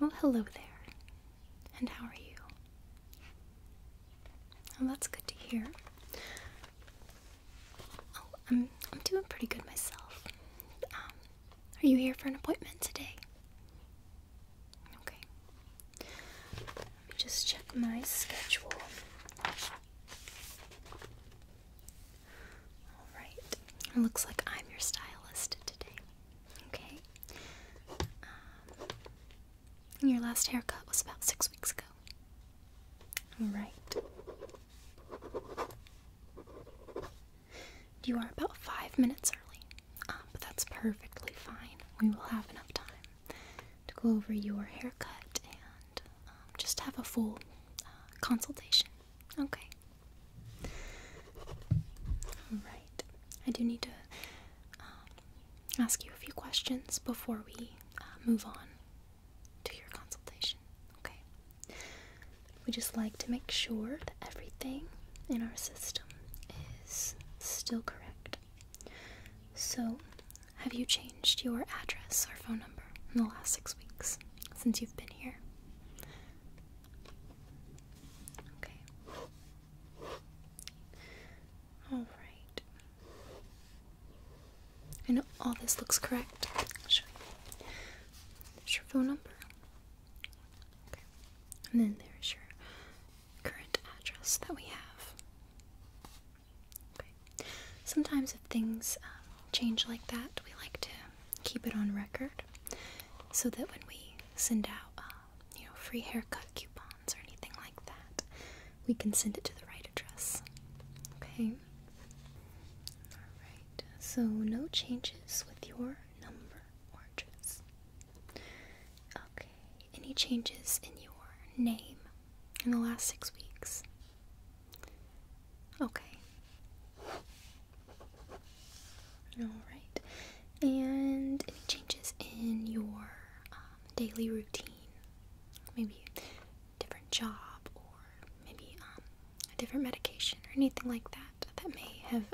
Oh, hello there. And how are you? Oh, that's good to hear. Oh, I'm, I'm doing pretty good myself. Um, are you here for an appointment today? Okay. Let me just check my schedule. Alright. It looks like I'm your stylist today. Okay. Um, your last haircut was about six weeks ago. Alright. You are about five minutes early, um, but that's perfectly fine. We will have enough time to go over your haircut and um, just have a full consultation. Okay. All right. I do need to um, ask you a few questions before we uh, move on to your consultation. Okay. We just like to make sure that everything in our system is still correct. So, have you changed your address or phone number in the last six weeks since you've been here? Okay. All right. I know all this looks correct. i There's your phone number. Okay. And then there's your current address that we have. Sometimes if things um, change like that, we like to keep it on record so that when we send out, uh, you know, free haircut coupons or anything like that, we can send it to the right address. Okay. Alright, so no changes with your number or address. Okay, any changes in your name in the last six weeks? Okay. Alright. And any changes in your um, daily routine? Maybe a different job or maybe um, a different medication or anything like that that may have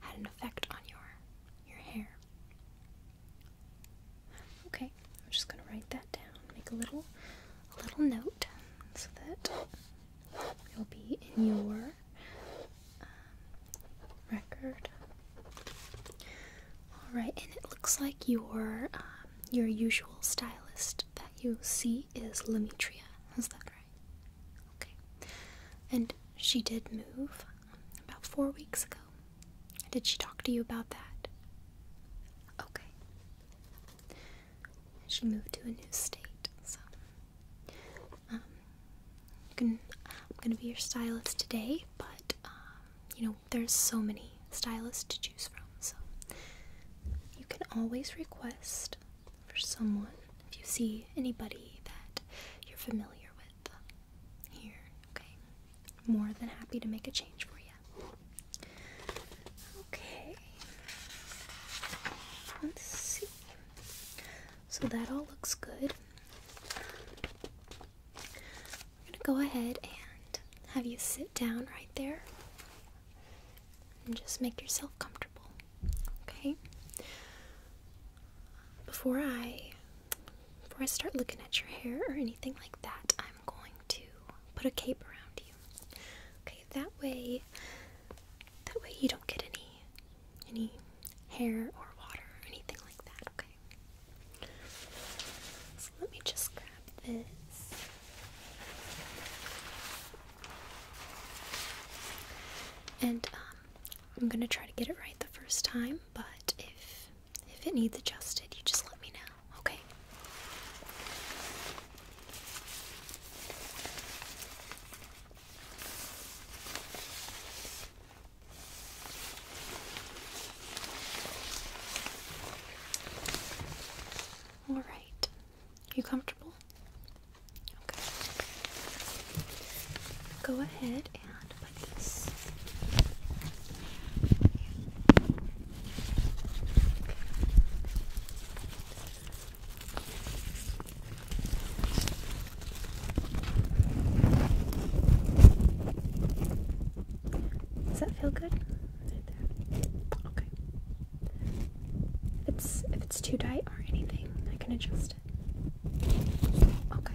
had an effect on your your hair. Okay, I'm just gonna write that down, make a little a little note so that it'll be in your um, record. Alright, and it looks like your um, your usual stylist that you see is Lemetria. Is that right? Okay. And she did move about four weeks ago. Did she talk to you about that? Okay she moved to a new state. So, um, I'm gonna be your stylist today, but um, you know there's so many stylists to choose from. So, you can always request for someone if you see anybody that you're familiar with here. Okay, more than happy to make a change for you. Okay. Let's see. So that all looks good. I'm gonna go ahead and have you sit down right there and just make yourself comfortable. Okay. Before I before I start looking at your hair or anything like that, I am I'm going to put a cape around you. Okay, that way that way you don't get any any hair or water or anything like that, okay? So let me just grab this. And um, I'm gonna try to get it right the first time, but if if it needs adjusted, you just let me know. Okay. All right. You comfortable? Okay. Go ahead and put this does that feel good? Okay. it's if it's too tight or anything, I can adjust Okay.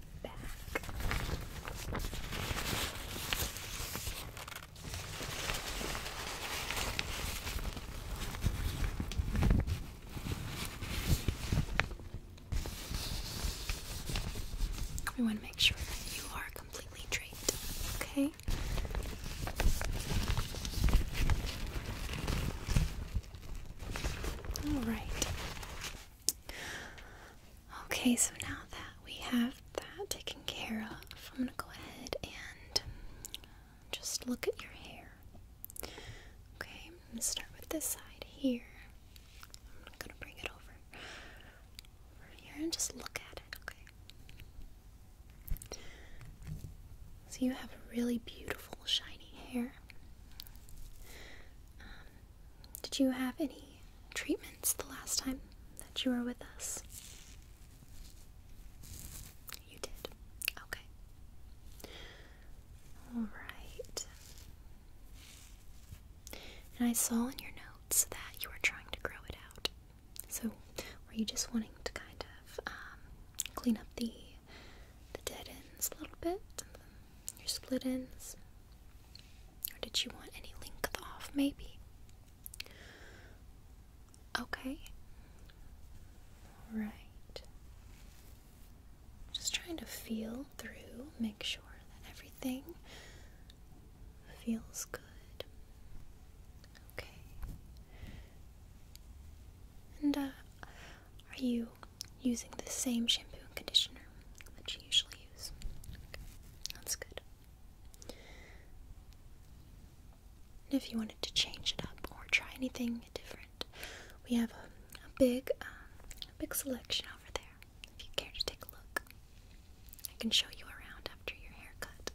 We want to make sure that you are completely draped, okay? All right. Okay, so now that we have that taken care of, I'm gonna go ahead and just look at your hair. Okay, I'm gonna start with this side here. I'm gonna bring it over, over here and just look at it, okay? So you have really beautiful, shiny hair. Um, did you have any treatments the last time that you were with us? You did. Okay. Alright. And I saw in your notes that you were trying to grow it out. So, were you just wanting to kind of um, clean up the the dead ends a little bit, your split ends? Or did she want any length off, maybe? Okay. Alright. Just trying to feel through, make sure that everything feels good. Okay. And uh, are you using the same shampoo and conditioner that you usually use. that's good. if you wanted to change it up or try anything different, we have a, big, um, big selection over there. If you care to take a look, I can show you around after your haircut.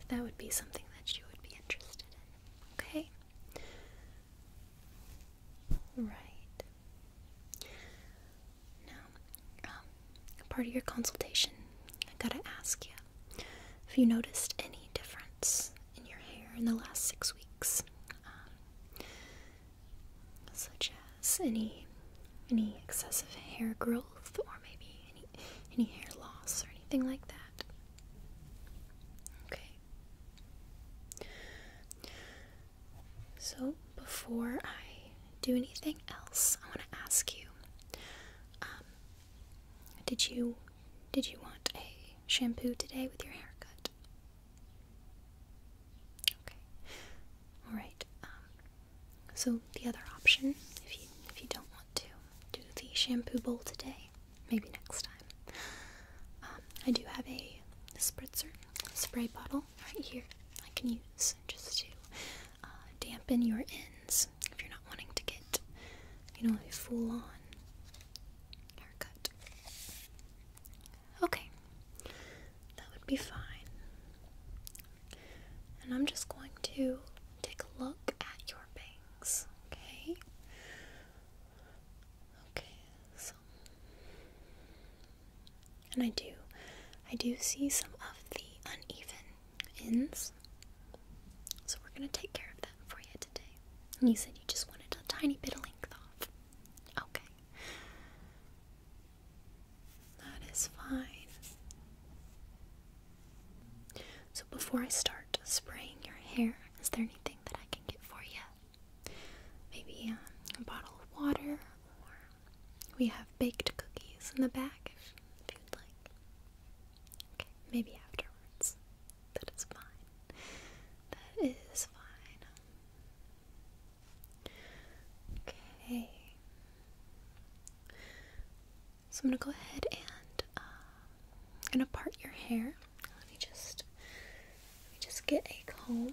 If that would be something that you would be interested in, okay? Right. Now, um, part of your consultation, I gotta ask you Have you noticed any difference in your hair in the last six weeks, um, such as any any excessive hair growth or maybe any any hair loss or anything like that. Okay. So, before I do anything else, I want to ask you um, did you did you want a shampoo today with your haircut? Okay. All right. Um, so the other option, if you if you don't want to do the shampoo bowl today, maybe next time. Um, I do have a spritzer, a spray bottle right here I can use just to uh, dampen your ends if you're not wanting to get, you know, a full on haircut. Okay, that would be fine. And I'm just going to take a look at your bangs, okay? Okay, so and I do, I do see some of the uneven ends. So we're gonna take care of that for you today. And you said you just wanted a tiny bit of length off. Okay. That is fine. So before I start spraying your hair, is there anything that I can get for you? Maybe um, a bottle of water or we have baked cookies in the back if, you'd like. Okay, maybe afterwards. That is fine. That is fine. Okay. So I'm gonna go ahead and I'm um, gonna part your hair. Let me just let me just get a comb.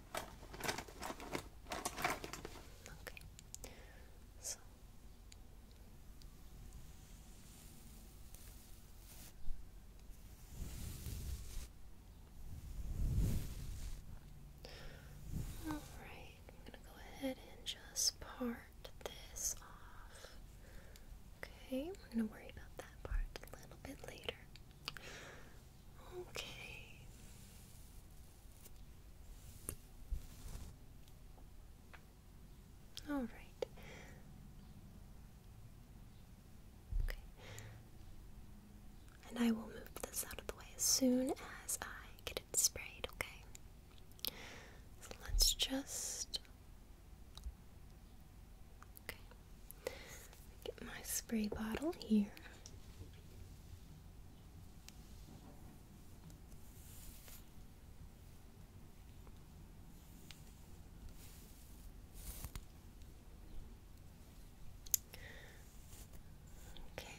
Okay. So all right, I'm going to go ahead and just part this off. Okay, I'm going to worry about that part a little bit later. Okay. All right. Okay. And I will move this out of the way as soon as I get it sprayed, okay? So let's just. Okay. Get my spray bottle here. Okay.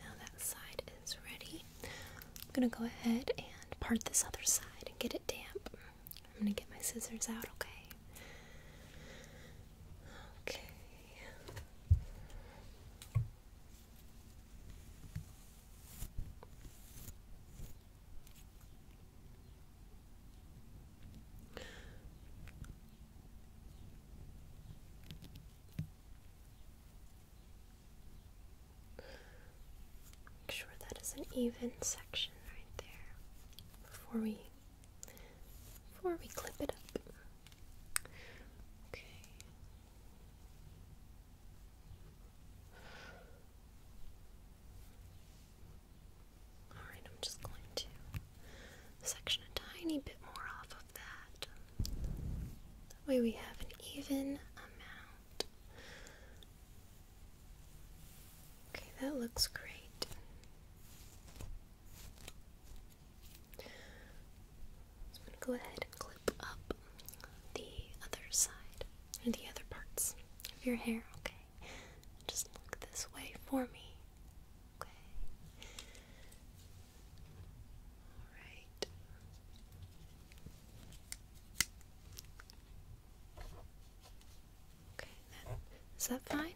Now that side is ready. I'm going to go ahead and part this other side and get it damp. I'm going to get my scissors out, okay? Okay. Make sure that is an even section right there before we before we clip it up. Okay. Alright, I'm just going to section a tiny bit more off of that. That way we have an even amount. Okay, that looks great. go ahead and clip up the other side, the other parts of your hair, okay? Just this way for me. Okay. All right. Okay, Is that fine?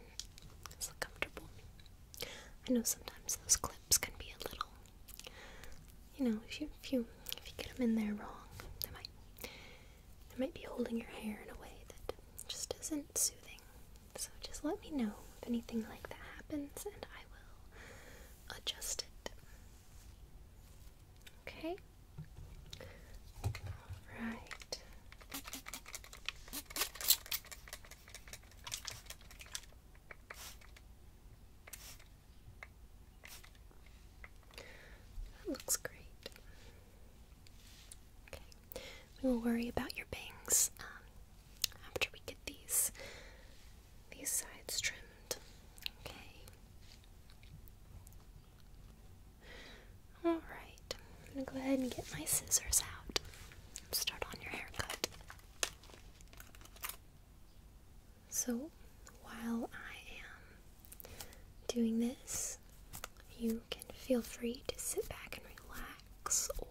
Is it comfortable? I know sometimes those clips can be a little, you know, if you if you if you get them in there wrong, they might they might be holding your hair in a way that just isn't soothing. So just let me know if anything like that happens and I will adjust it. Okay? Alright. That looks great. Okay, we will worry about your bangs um, after we get these these sides trimmed. Okay. Alright, I'm gonna go ahead and get my scissors out. Start on your haircut. So, while I am doing this, you can feel free to sit back and relax or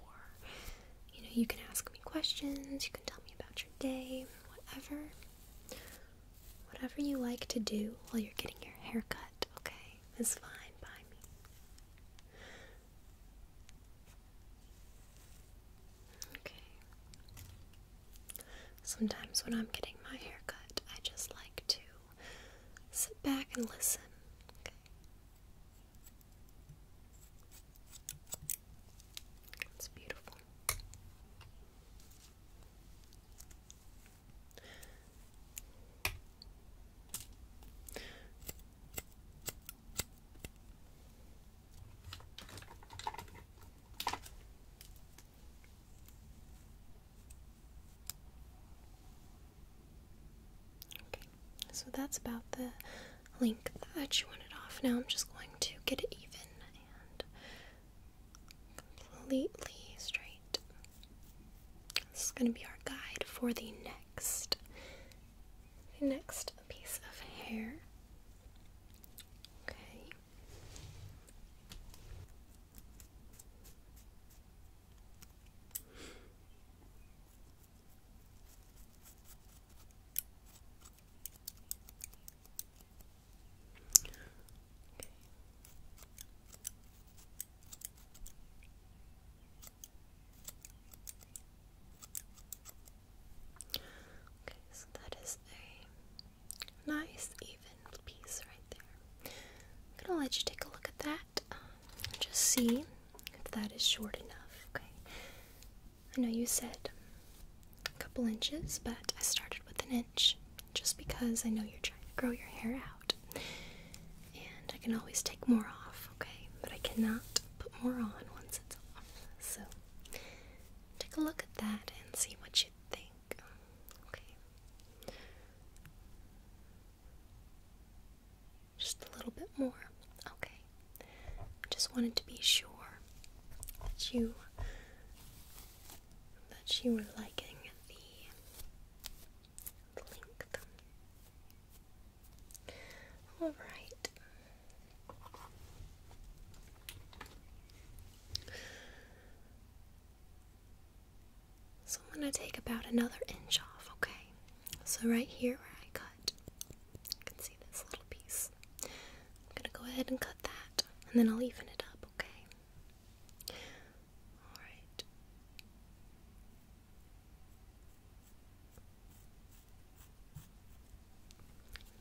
you know, you can ask me questions, you can tell me about your day, whatever. Whatever you like to do while you're getting your hair cut, okay, is fine by me. Okay. Sometimes when I'm getting my hair cut, I just like to sit back and listen. It's beautiful. Okay, so that's about the length that you wanted off. Now I'm just going to get it even and completely straight. This is going to be our guide for the next next piece of hair. Okay. Okay, so that is a nice even piece right there. I'm gonna let you take a look at that just see if that is short enough. Okay. I know you said a couple inches, but I started with an inch just because I know you're trying to grow your hair out. And I can always take more off, okay? But I cannot put more on once it's off. So take a look at that and see what you think. Okay. Just a little bit more. Okay. Just wanted to be sure that you that you were liking the length. All right. So I'm going to take about another inch off, okay? So right here where I cut cut. can see this little piece. I'm gonna go ahead and cut that, and then I'll even it up, okay? Alright.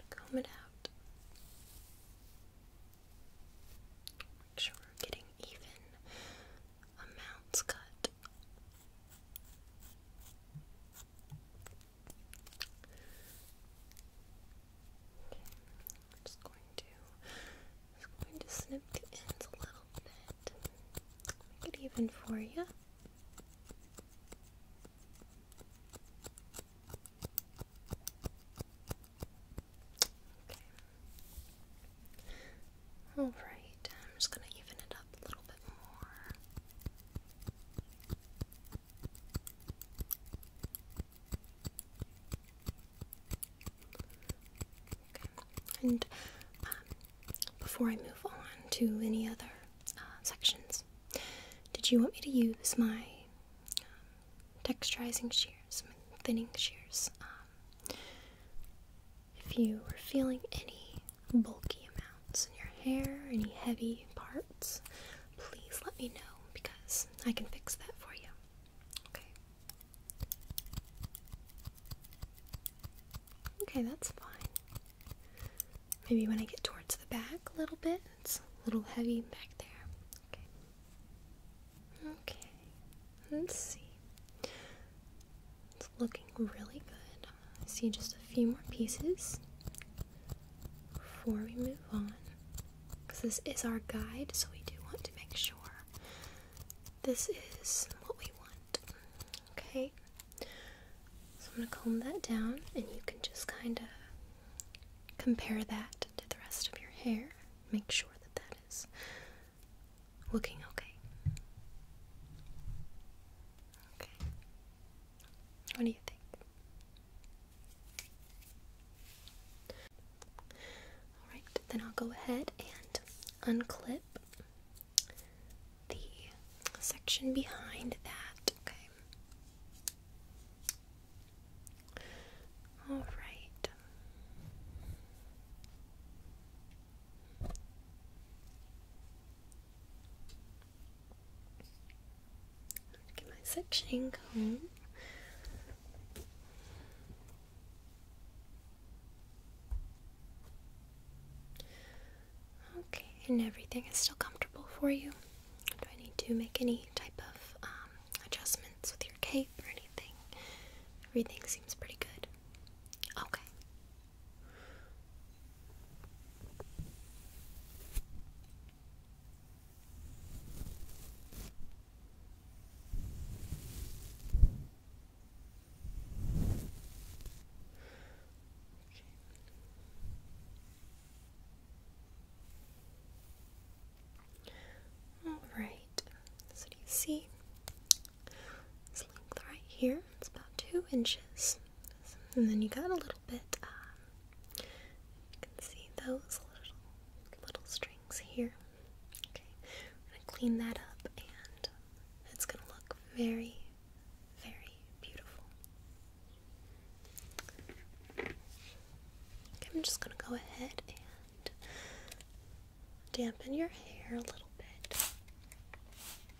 Comb it out. Make sure we're getting even amounts cut. I'm just going to snip the ends a little bit. Make it even for you. Alright, I'm just going to even it up a little bit more. and um, before I move on to any other uh, sections, did you want me to use my um, texturizing shears, my thinning shears? Um, if you were feeling any bulky amounts in your hair, any heavy parts, please let me know because I can fix that for you. Okay. Okay, that's fine. Maybe when I get towards the back a little bit, it's a little heavy back there. Okay. Okay. Let's see. It's looking really good. I see just a few more pieces before we move on. Because this is our guide, so we do want to make sure this is what we want. Okay? So I'm going to comb that down, and you can just kind of compare that to the rest of your hair. Make sure that that is looking okay. Okay. What do you think? Alright, then I'll go ahead and unclip the section behind that. Okay. Alright. Get my sectioning going. Okay, and everything is still comfortable for you. Do I need to make any type of um, adjustments with your cape or anything? Everything seems pretty good. Okay, all right. So do you see? Its length right here, it's about two inches. And then you got a little bit, um, you can see those little, little strings here. Okay, we're gonna clean that up and it's gonna look very, very beautiful. I'm just gonna go ahead and dampen your hair a little bit.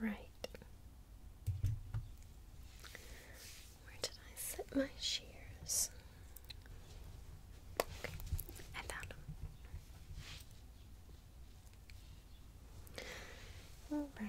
Right. Where did I set my shears? Okay, I found them. All right.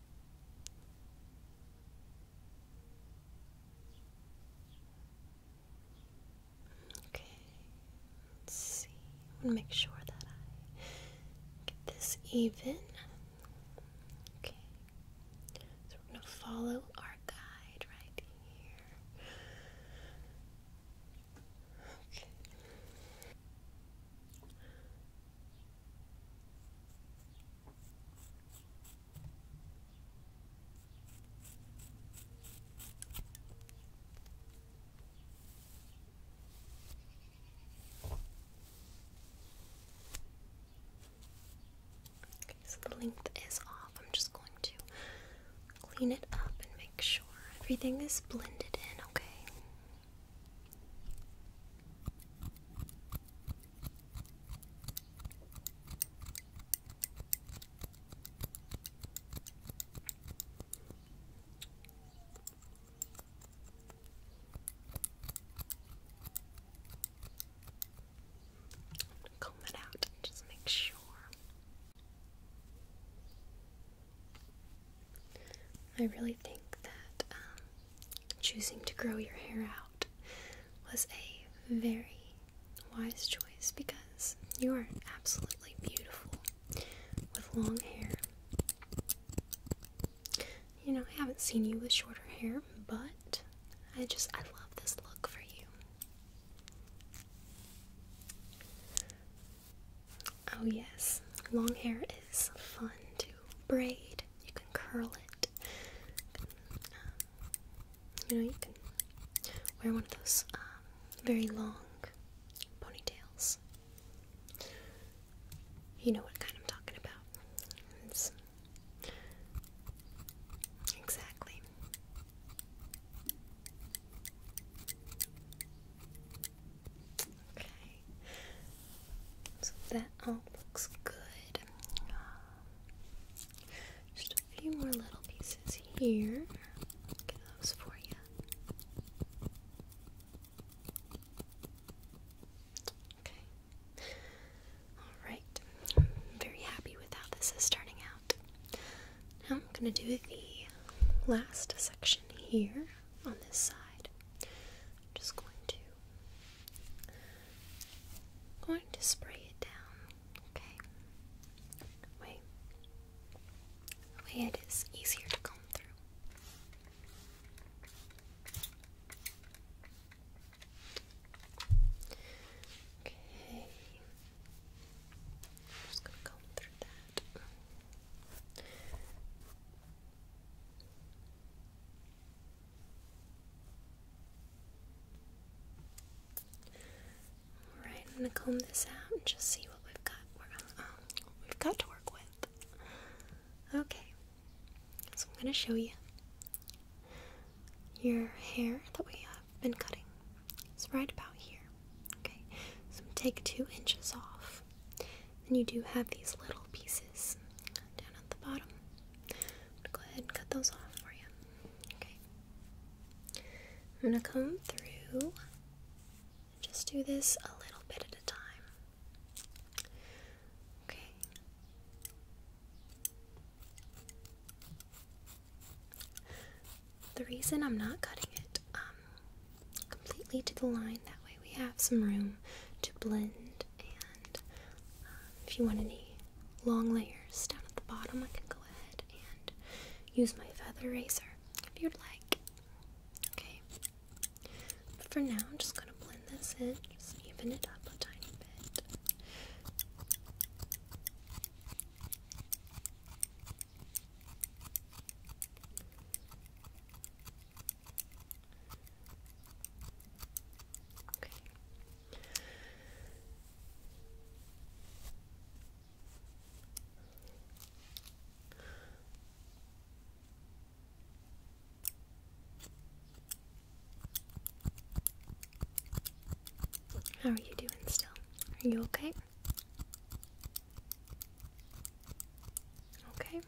Okay, let's see. I want to make sure that I get this even. Okay, so we're going to follow our guide right here. Okay so the length is off. I'm just going to clean it up and make sure everything is blended in, okay? Comb it out and just make sure. I really think that um, choosing to grow your hair out was a very wise choice because you are absolutely beautiful with long hair. You know, I haven't seen you with shorter hair, but I just I love this look for you. Oh yes, long hair is fun too to braid, you can curl it. Um, you, know, you can wear one of those um, very long ponytails. You know what kind I'm talking about. exactly. Okay. So that all looks good. Uh, just a few more little pieces here. Get those for you. Okay. Alright. I'm very happy with how this is starting out. Now I'm going to do the last section here on this side. just going to I'm going to spray it down, okay? Wait. Way it is easier to comb through. Okay. just gonna comb through that. Alright, I'm gonna comb this out and just see what we've got. Um, we have got to work with. Okay, so I'm gonna show you your hair that we have been cutting. It's right about here. Okay, so take two inches off. Then you do have these little pieces down at the bottom. I'm gonna go ahead cut those off for you. Okay. I'm gonna come through and just do this a little bit at a time. Okay. The reason I'm not cutting it um, completely to the line, that way we have some room to blend um, if you want any long layers down at the bottom, I can go ahead and use my feather razor if you'd like. Okay. for now, I'm just gonna blend this in, just even it up a tiny bit. Okay. How are you doing still? Are you okay? Okay.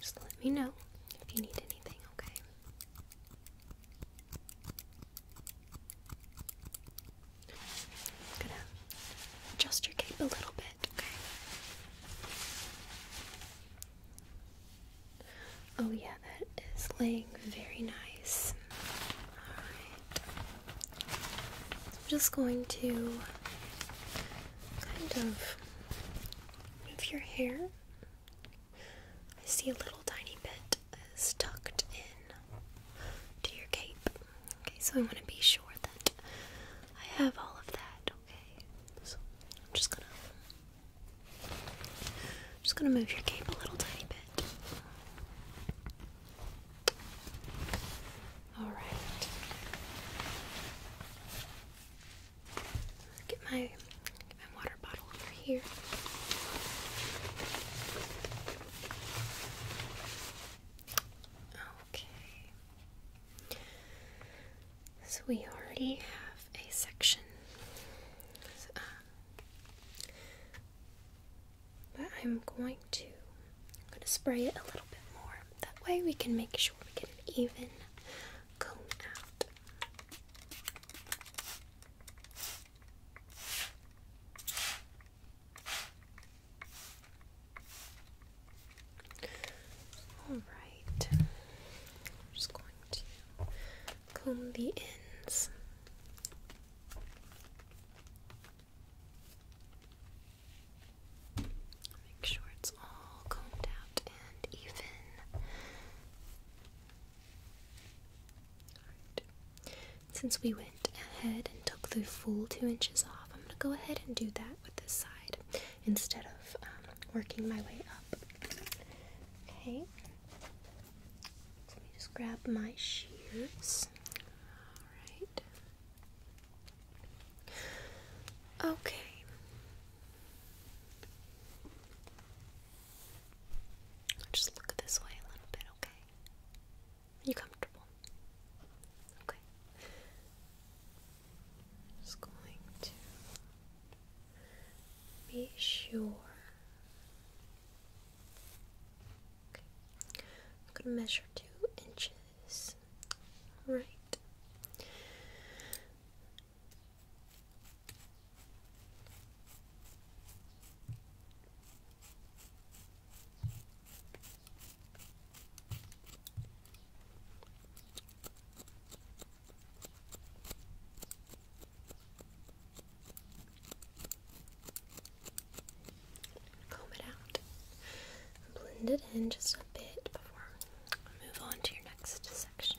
Just let me know if you need anything, okay? gonna adjust your cape a little bit, okay? Oh, yeah, that is laying very nice. Alright. I'm just going to kind of Move your hair. I see a little tiny bit is tucked in to your cape. Okay, so I want to be sure that I have all of that. Okay, so I'm just gonna just gonna move your cape a little tiny bit. All right. Get my, water bottle over here. Okay. So we already have a section. Um, but I'm going to I'm going to spray it a little bit more. That way we can make sure we can even comb Alright, just going to comb the ends make sure it's all combed out and even. Since we went ahead and took the full two inches off, I'm gonna go ahead and do that with this side instead of um, working my way up. Okay. let me just grab my shears. Alright. Okay. Just look this way a little bit, okay? Are you comfortable? Okay. Just going to be sure. Okay. I'm gonna measure two inches. Right. Comb it out. Blend it in just a bit before I move on to your next section.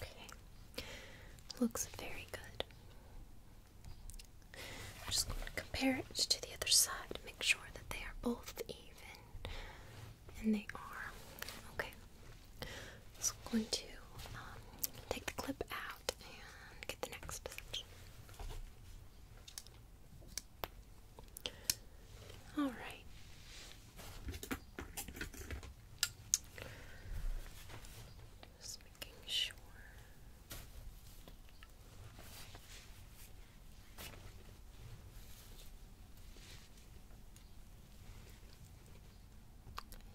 Okay, looks very good. I'm just going to compare it to the other side, make sure that they are both even. And they are. Okay. So going to um, take the clip out and get the next Alright. Just making sure.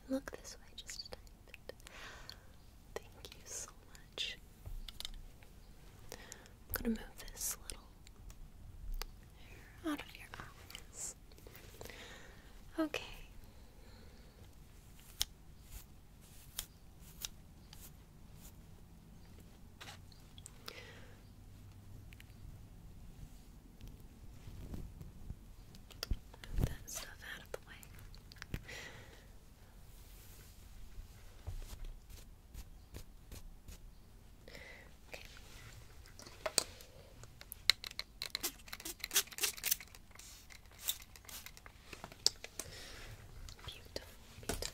Look this way just a tiny bit. Thank you so much. gonna move this little hair out of your eyes. Okay. Move that stuff out of the way. Okay. Beautiful, beautiful.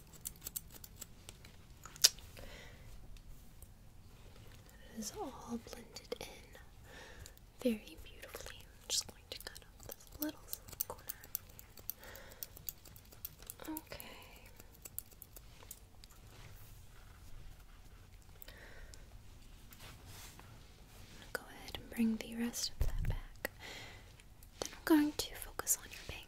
It is all blended in very beautifully. just going to cut off this little corner. Okay. go ahead and bring the rest of that back. Then I'm going to focus on your base.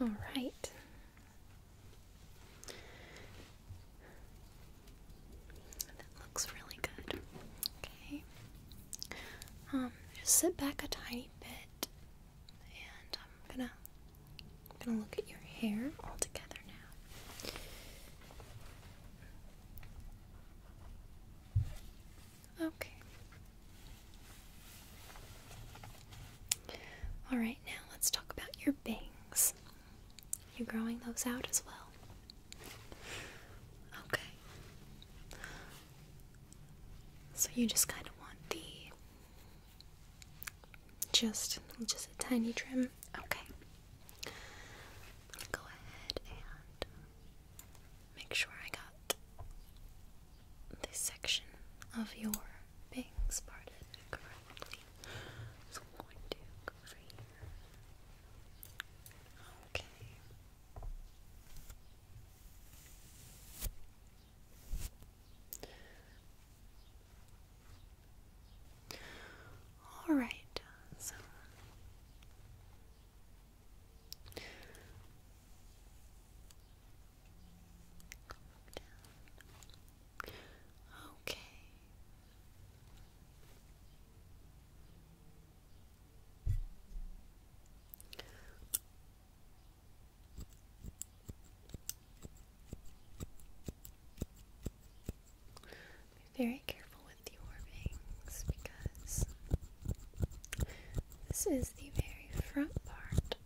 All right. That looks really good. Okay. Um, just sit back a tiny bit, and I'm gonna gonna look at your hair all together now. Okay. Alright, now let's talk about your bangs. You're growing those out as well. Okay. So you just kind of want the just just a tiny trim. Okay. Go ahead and make sure I got this section of your being spotted correctly. So I'm going to go over here. Okay. All right. So Okay. Be very careful with your bangs because this is the very front part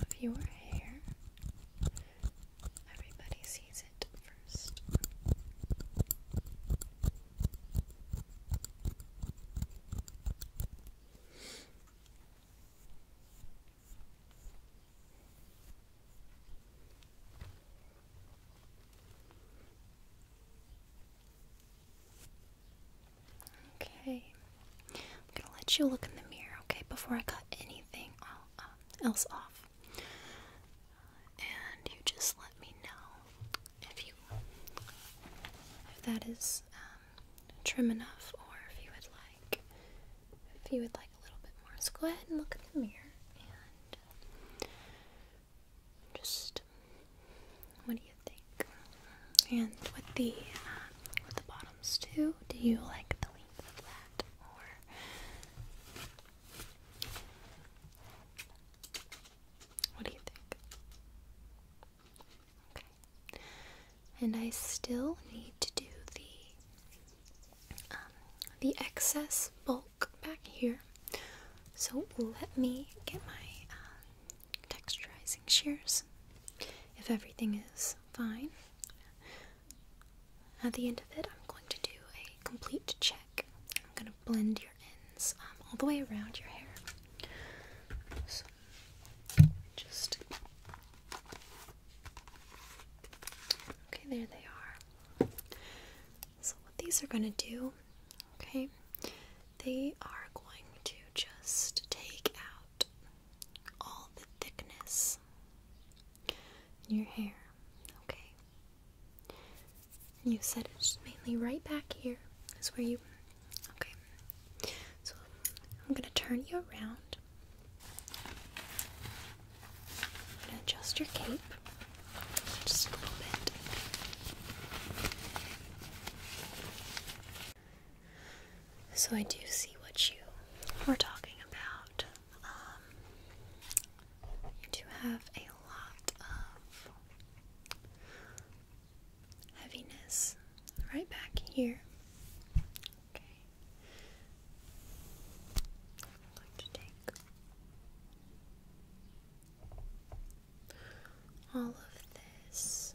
of your hair. Everybody sees it first. Okay. I'm gonna let you look in the mirror, okay, before I cut anything uh, else off. And you just let me know if you if that is um, trim enough, or if you would like if you would like a little bit more. So go ahead and look in the mirror and um, just what do you think? And with the uh, with the bottoms too, do you like the length of that or? What do you think? Okay. And I still need to do the um, the excess bulk back here. So let me get my um, texturizing using shears. If everything is fine, at the end of it, I'm going to do a complete check. I'm going to blend your ends um, all the way around your hair. So, just. Okay, there they are. So, what these are going to do, okay, they are going to just take out all the thickness your hair, okay? you said it's mainly right back here is where you. Okay. So I'm going to turn you around. adjust your cape just a little bit. So I do see what you were talking about. Um, you do have a lot of heaviness right back here. Okay. I'm going to take all of this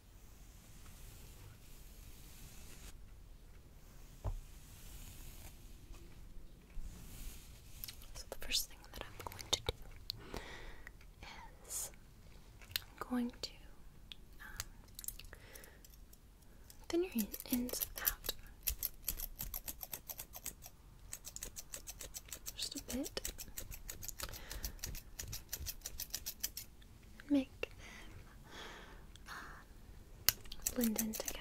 So, the first thing that I'm going to do is I'm going to um, thin your ends out just a bit make them blend in together.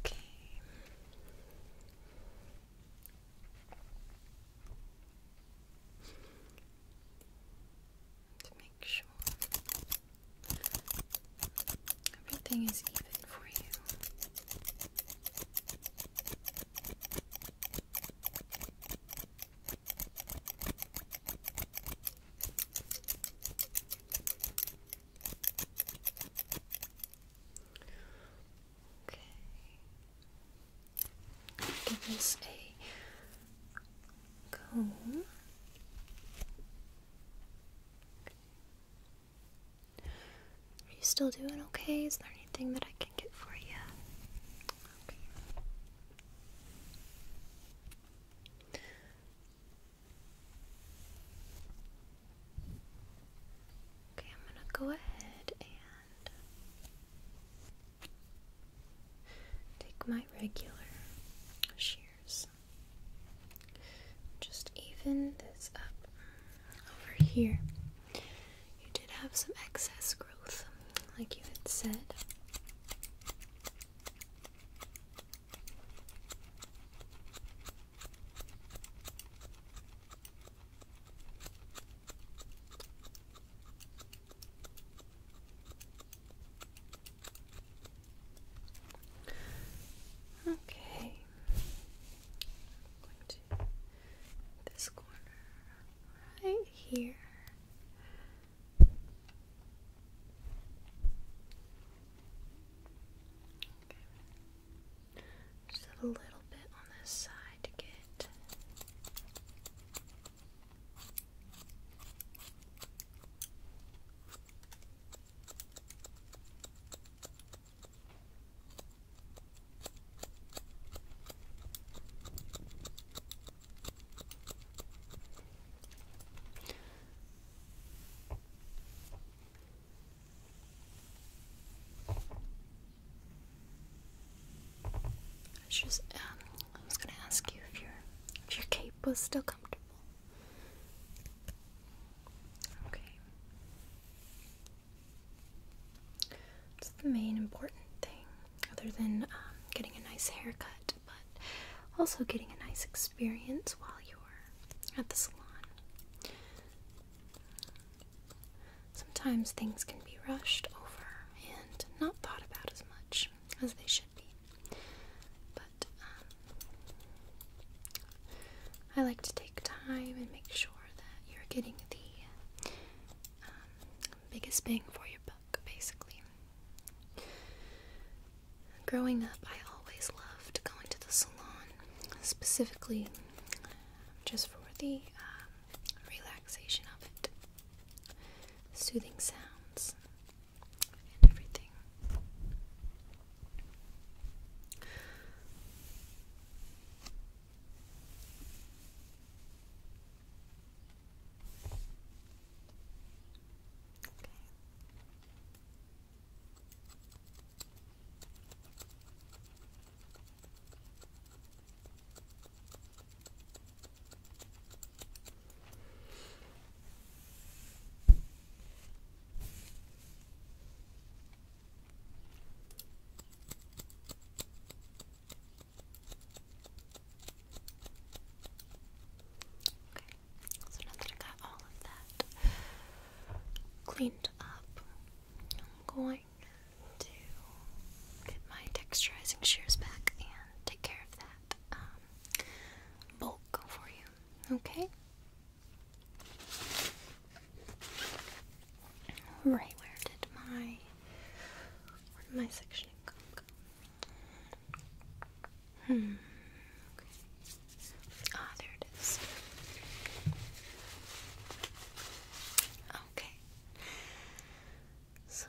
Okay. To make sure everything is even for you. Okay. Give this a comb. Are you still doing okay? Is there anything that I can get for you? Okay, I'm gonna go ahead and take my regular shears. Just even this up over here. You did have some excess growth, like you had said. Okay, going to this corner right here. Just a little bit on this side to get just, um, I was gonna ask you if your if your cape was still comfortable. Okay. That's the main important thing, other than um, getting a nice haircut, but also getting a nice experience while you're at the salon. Sometimes things can be rushed over and not thought about as much as they should be. But um, I like to take time and make sure that you're getting the um, biggest bang for your buck, basically. Growing up, I always loved going to the salon specifically just for the um, relaxation of it, soothing sounds, and everything so now that I got all of that cleaned up, I'm going to get my texturizing shears back and take care of that um, bulk for you. Okay? Right, where did my my sectioning go? Hmm. Okay. Ah, there it is. Okay. So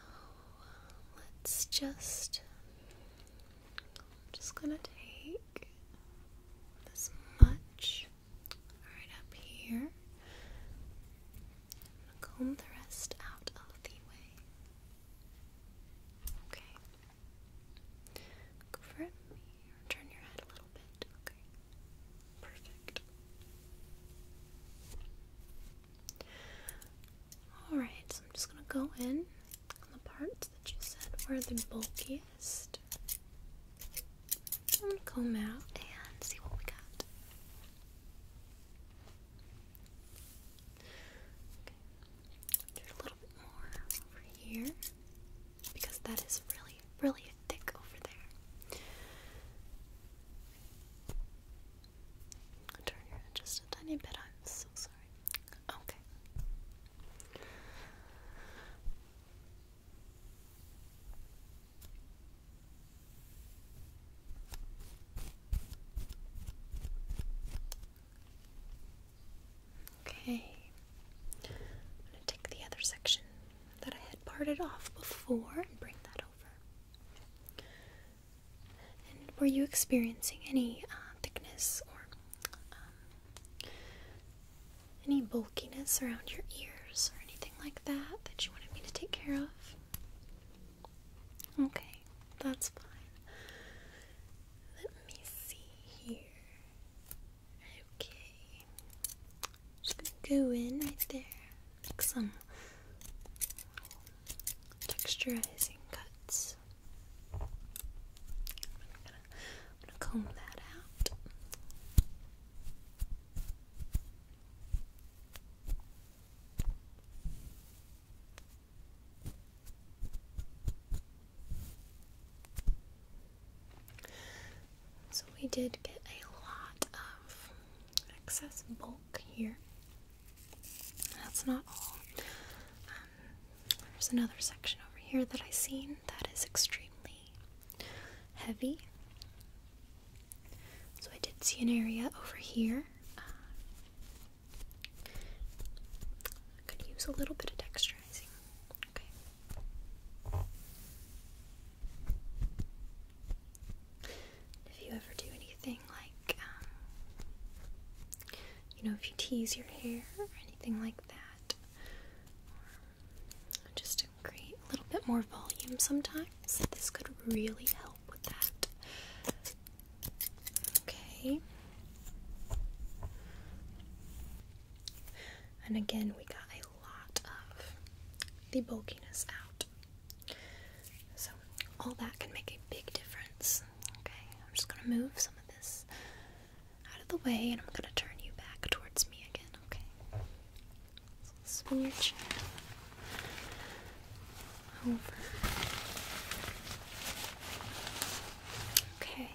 let's just. I'm just gonna take this much right up here. i the rest out of the way. Okay. Look over at turn your head a little bit. Okay. Perfect. Alright, so I'm just gonna go in on the parts that you said were the bulkiest. I'm gonna comb out and see what we got. Okay. Do a little bit more over here because that is really, really thick over there. Turn just a tiny bit. I'm so sorry. Okay. Okay. I'm going to take the other section that I had parted off before and bring that over. And were you experiencing any uh, thickness or um, any bulkiness around your ears or anything like that that you wanted me to take care of? Okay, that's fine. Let me see here. Okay. Just gonna go in right there. Make some texturizing cuts. I'm gonna, comb that out. So we did get a lot of excess bulk here. That's not all. Um, there's another section over here that I've seen that is extremely heavy. So I did see an area over here. Uh, could use a little bit of texturizing. Okay. If you ever do anything like, um, you know, if you tease your hair or anything like that, just to create a little bit more volume sometimes, this could really help with that. Okay. And again, we got a lot of the bulkiness out. So, all that can make a big difference. Okay, I'm just gonna move some of this out of the way and I'm gonna turn you back towards me again, okay? spin your chair over. Okay.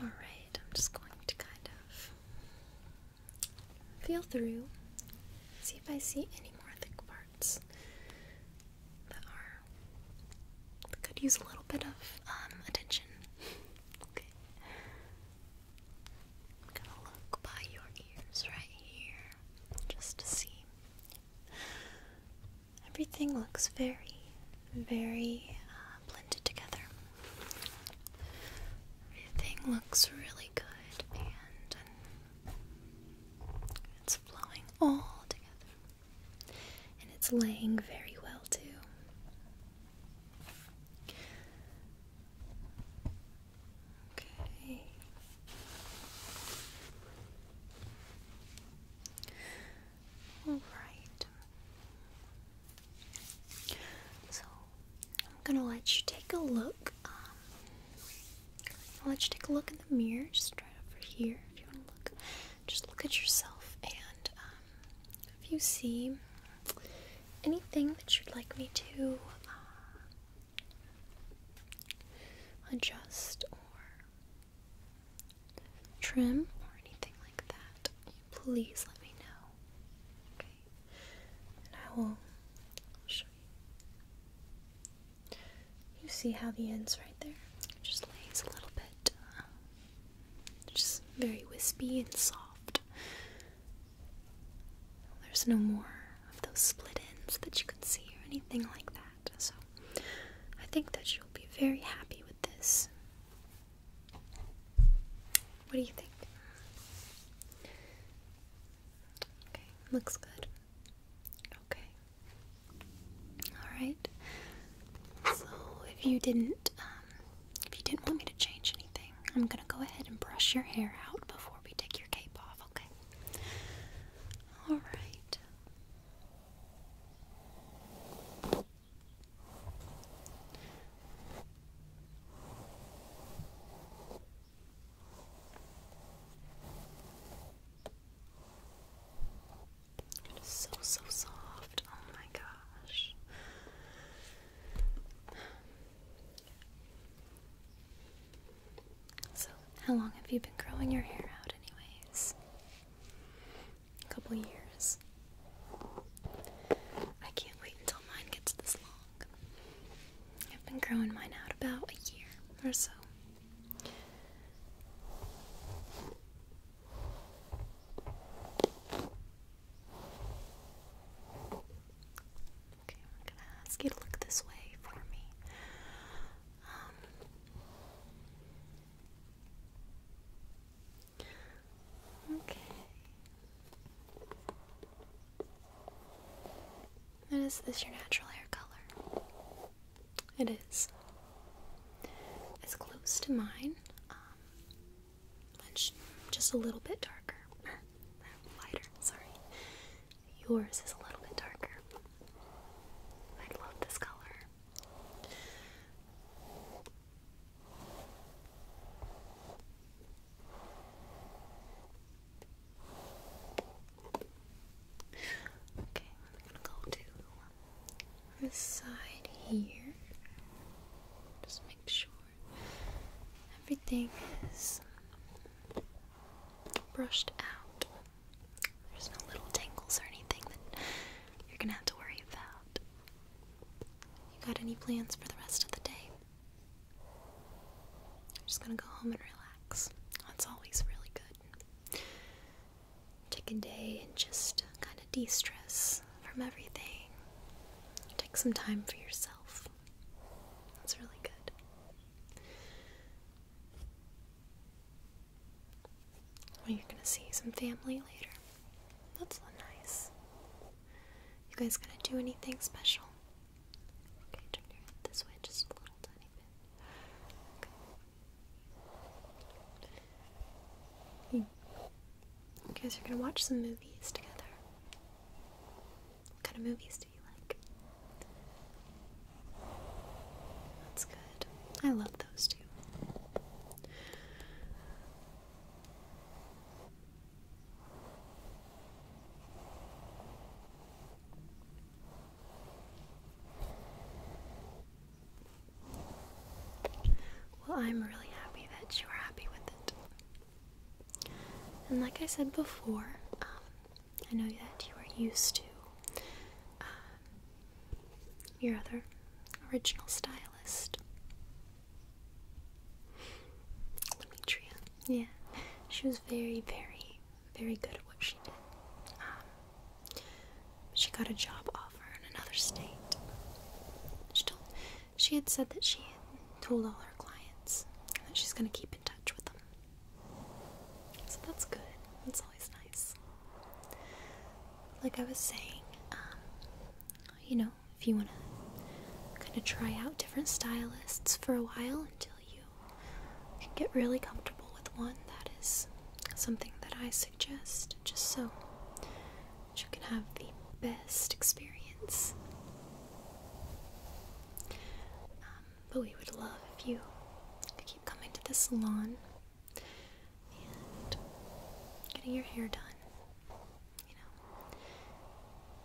Alright, I'm just going to kind of feel through, see if I see any more thick parts that are could use a little bit of um, attention. okay. gonna look by your ears right here just to see Everything looks very, very uh, blended together. Everything looks really good and um, it's flowing all together. And it's laying very well, too. Okay. Alright. So, I'm gonna let you take a look. Um, let you take a look in the mirror, just right over here. If you want to look, just look at yourself. And um, if you see anything that you'd like me to uh, adjust or trim or anything like that, please let me know. Okay, and I will show you. You see how the ends right there it just lays a little bit, um, just very wispy and soft. There's no more of those split ends that you can see or anything like that. So I think that you'll be very happy with this. What do you think? Okay, looks good. Okay. Alright. So if you didn't um, if you didn't want me to change anything, I'm gonna go ahead and brush your hair out before we take your cape off, okay? Alright. It is so, so soft. Oh my gosh. So, how long have you been growing your hair out, anyways? A couple years. I can't wait until mine gets this long. I've been growing mine out about a year or so. Okay, we're gonna ask you to look this way for me. Um, okay. is this your natural hair color? It is. It's close to mine. Um, just a little bit darker, lighter. Sorry. Yours is a little bit darker. I love this color. Okay, I'm gonna go to this side here. Just make sure everything is brushed out. There's no little tangles or anything that you're gonna have to worry about. You got any plans for the rest of the day? I'm just gonna go home and relax. That's always really good. Take a day and just kind of de stress from everything. Take some time for yourself. That's really good. Well, you're gonna see some family later. That's nice. You guys gonna do anything special? Okay, turn your head this way just a little tiny bit. Okay. You guys are gonna watch some movies together. What kind of movies do you like? That's good. I love those two. Well, I'm really happy that you are happy with it. And like I said before, um, I know that you are used to uh, your other original stylist. Demetria. Yeah, she was very, very, very good at what she did. Um, she got a job offer in another state. She, told, she had said that she had told all her clients that she's going to keep in touch with them. So that's good. It's always nice. Like I was saying, um, you know, if you want to kind of try out different stylists for a while until you get really comfortable with one, that is something that I suggest just so that you can have the best experience. Um, but we would love if you if keep coming to the salon and getting your hair done, you know.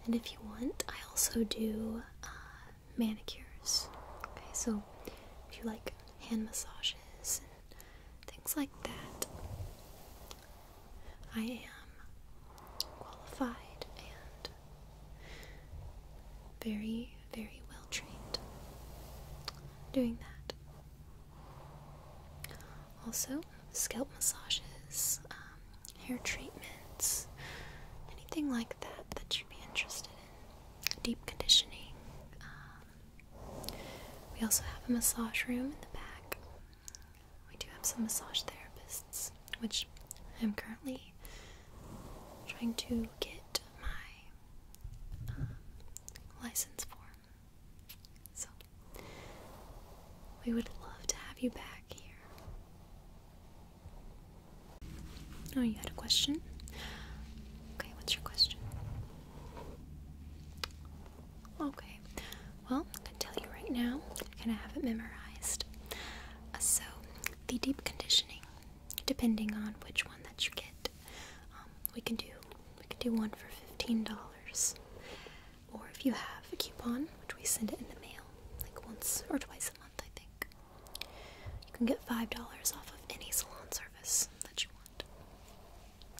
And if you want, I also do uh, manicures. Okay, so if you like hand massages and things like that, I am qualified and very very well trained doing that. Also, scalp massages, um, hair treatments, anything like that that you'd be interested in. Deep conditioning. Um, we also have a massage room in the back. We do have some massage therapists, which I'm currently trying to get my um, license form. So, we would love to have you back here. Oh, you had a question? Okay, what's your question? Okay, well, I can tell you right now, and I have it memorized. Uh, so, the deep conditioning, depending on which one that you get, um, we can do we can do one for fifteen dollars, or if you have a coupon, which we send it in the mail like once or twice a month, I think. You can get five dollars off of any salon service that you want.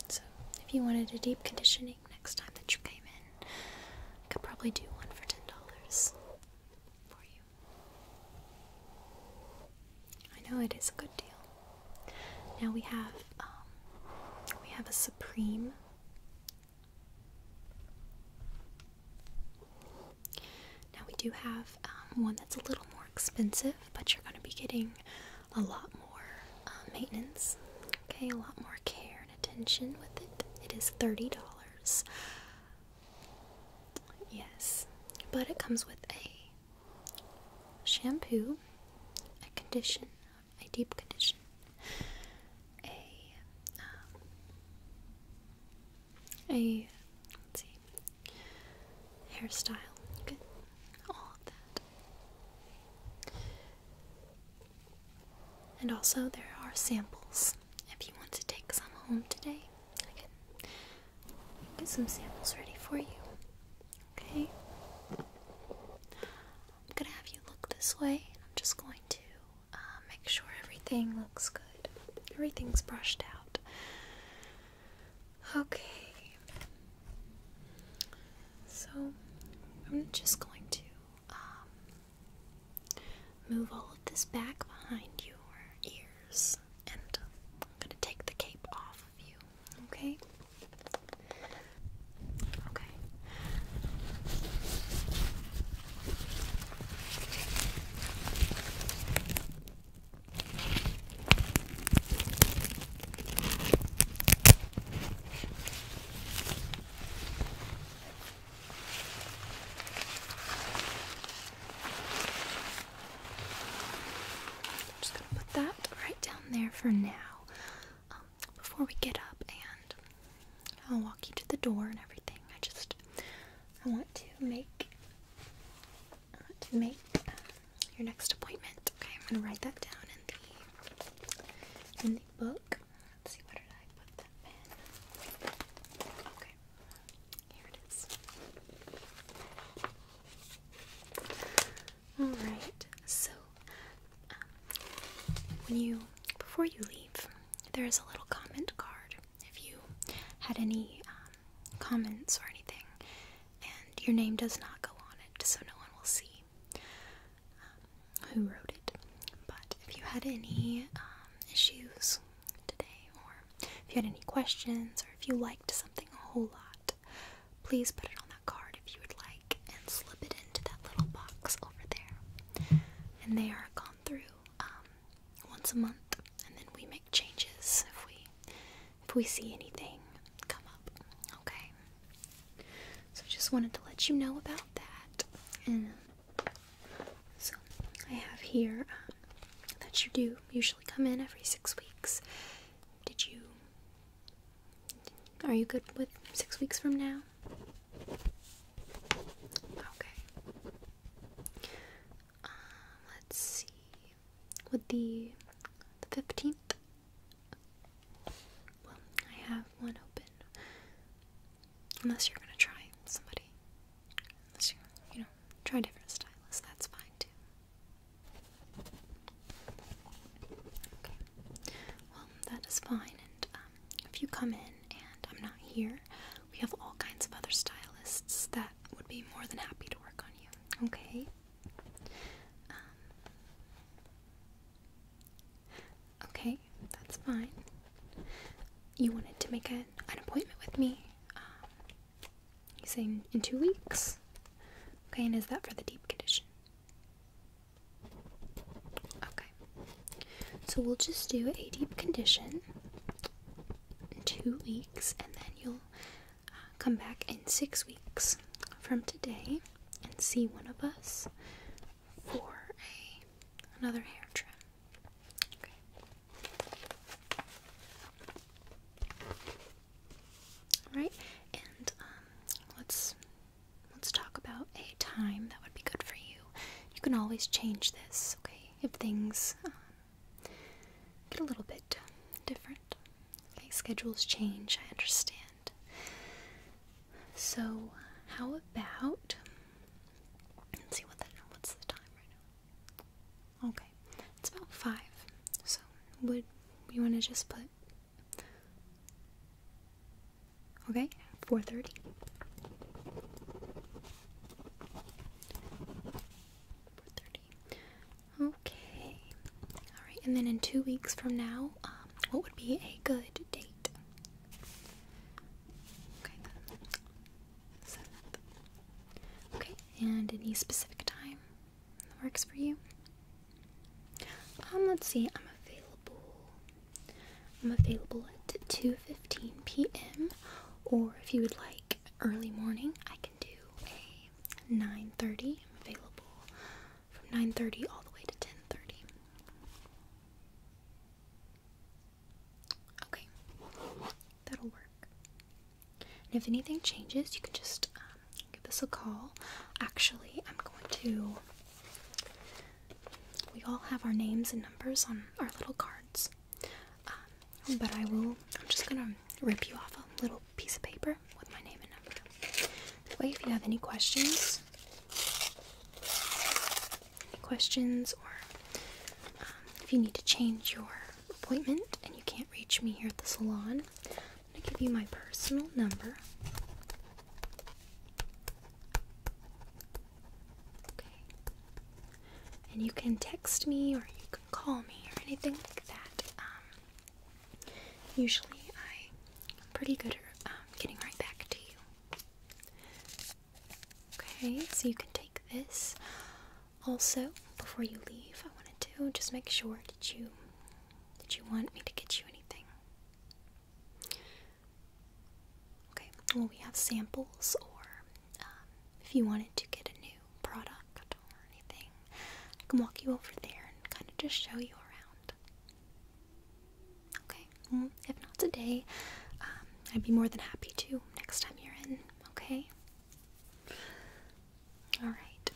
So if you wanted a deep conditioning next time that you came in, I could probably do one for ten dollars for you. I know it is a good deal. Now we have um, we have a supreme. Now we do have um, one that's a little more expensive, but you're going to be getting a lot more uh, maintenance. Okay, a lot more care and attention with it. It is thirty dollars. Yes, but it comes with a shampoo, a condition, a deep condition, a um, a let's see hairstyle, good, all of that. And also there are samples if you want to take some home today. I get some samples ready for you. Okay? I'm gonna have you look this way. I'm just going to uh, make sure everything looks good, everything's brushed out. Okay. So I'm just going to um, move all of this back behind your ear and I'm gonna take the cape off of you. Okay. Okay. I'm just gonna put that right down there for now. Um, before we get up and I'll walk you to the door and everything. I just I want to make I want to make um, your next appointment. Okay, I'm gonna write that down in the in the book. Let's see where did I put that pen? Okay. Here it is. Alright, so um, when you before you leave, there is a little comment card. If you had any um, comments or anything, and your name does not go on it, so no one will see um, who wrote it. But if you had any issues today, or if you had any questions, or if you liked something a whole lot, please put it on that card if you would like and slip it into that little box over there. And they are gone through um, once a month, and then we make changes if we if we see anything come up. Okay. So I just wanted to let you know about that. And so I have here um, that you do usually come in every six weeks. Did you. Are you good with six weeks from now? Okay. Um, let's see. Would the the fifteenth? Well, I have one open. Unless you're gonna try somebody. Unless you, you know, try different stylists, that's fine too. Okay. Well, that is fine. And um, if you come in and I'm not here, we have all kinds of other stylists that would be more than happy to work on you. Okay. Um, okay, that's fine. You wanted to make a, an appointment with me. Um, He's saying in two weeks. Okay, and is that for the deep condition? Okay. So we'll just do a deep condition in two weeks, and then you'll uh, come back in six weeks from today and see one of us for another hair trim. Okay. Right, and um, let's let's talk about a time that would be good for you. You can always change this, okay? If things um, get a little bit different, okay? Schedules change. I understand. So, how about? Let's see what that. What's the time right now? Okay, it's about five. So would we want to just put okay four thirty? Four thirty. Okay. All right, and then in two weeks from now, um, what would be a good date? Okay. Okay, and any specific time that works for you? Um, let's see, I'm available. I'm available at 2.15 p.m. Or if you would like early morning, I can do a 9.30. I'm available from 9.30 all the way to 10.30. Okay, that'll work if anything changes, you can just um, give us a call. Actually, I'm going to. We all have our names and numbers on our little cards. Um, but I will. I'm just gonna rip you off a little piece of paper with my name and number. That way, if you have any questions, any questions, or um, if you need to change your appointment and you can't reach me here at the salon, I'm going to give you my personal number. Okay. And you can text me or you can call me or anything like that. Um, usually I, am pretty good at um, getting right back to you. Okay, so you can take this. Also, before you leave, I wanted to just make sure did you did you want me to get you anything? Okay, well, we have samples, or um, if you wanted to get a new product or anything, I can walk you over there and kind of just show you around. Okay, if not today, um, I'd be more than happy to next time you're in, okay? Alright.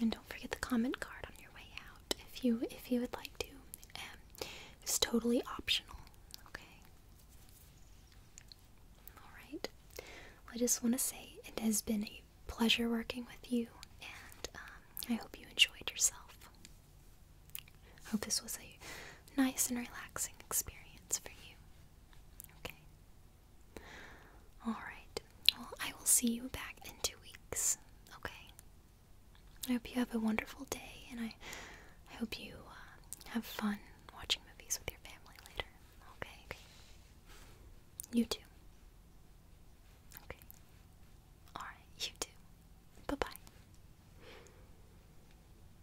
And don't forget the comment card on your way out if you if you would like to. Um, it's totally optional. Okay. Alright. I just want to say it has been a pleasure working with you and um, I hope you enjoyed yourself. I hope this was a nice and relaxing experience for you. Okay. Alright, well, I will see you back in two weeks, okay? I hope you have a wonderful day, and I, I hope you uh, have fun watching movies with your family later, okay. You too. Okay. Alright, you too. Bye bye.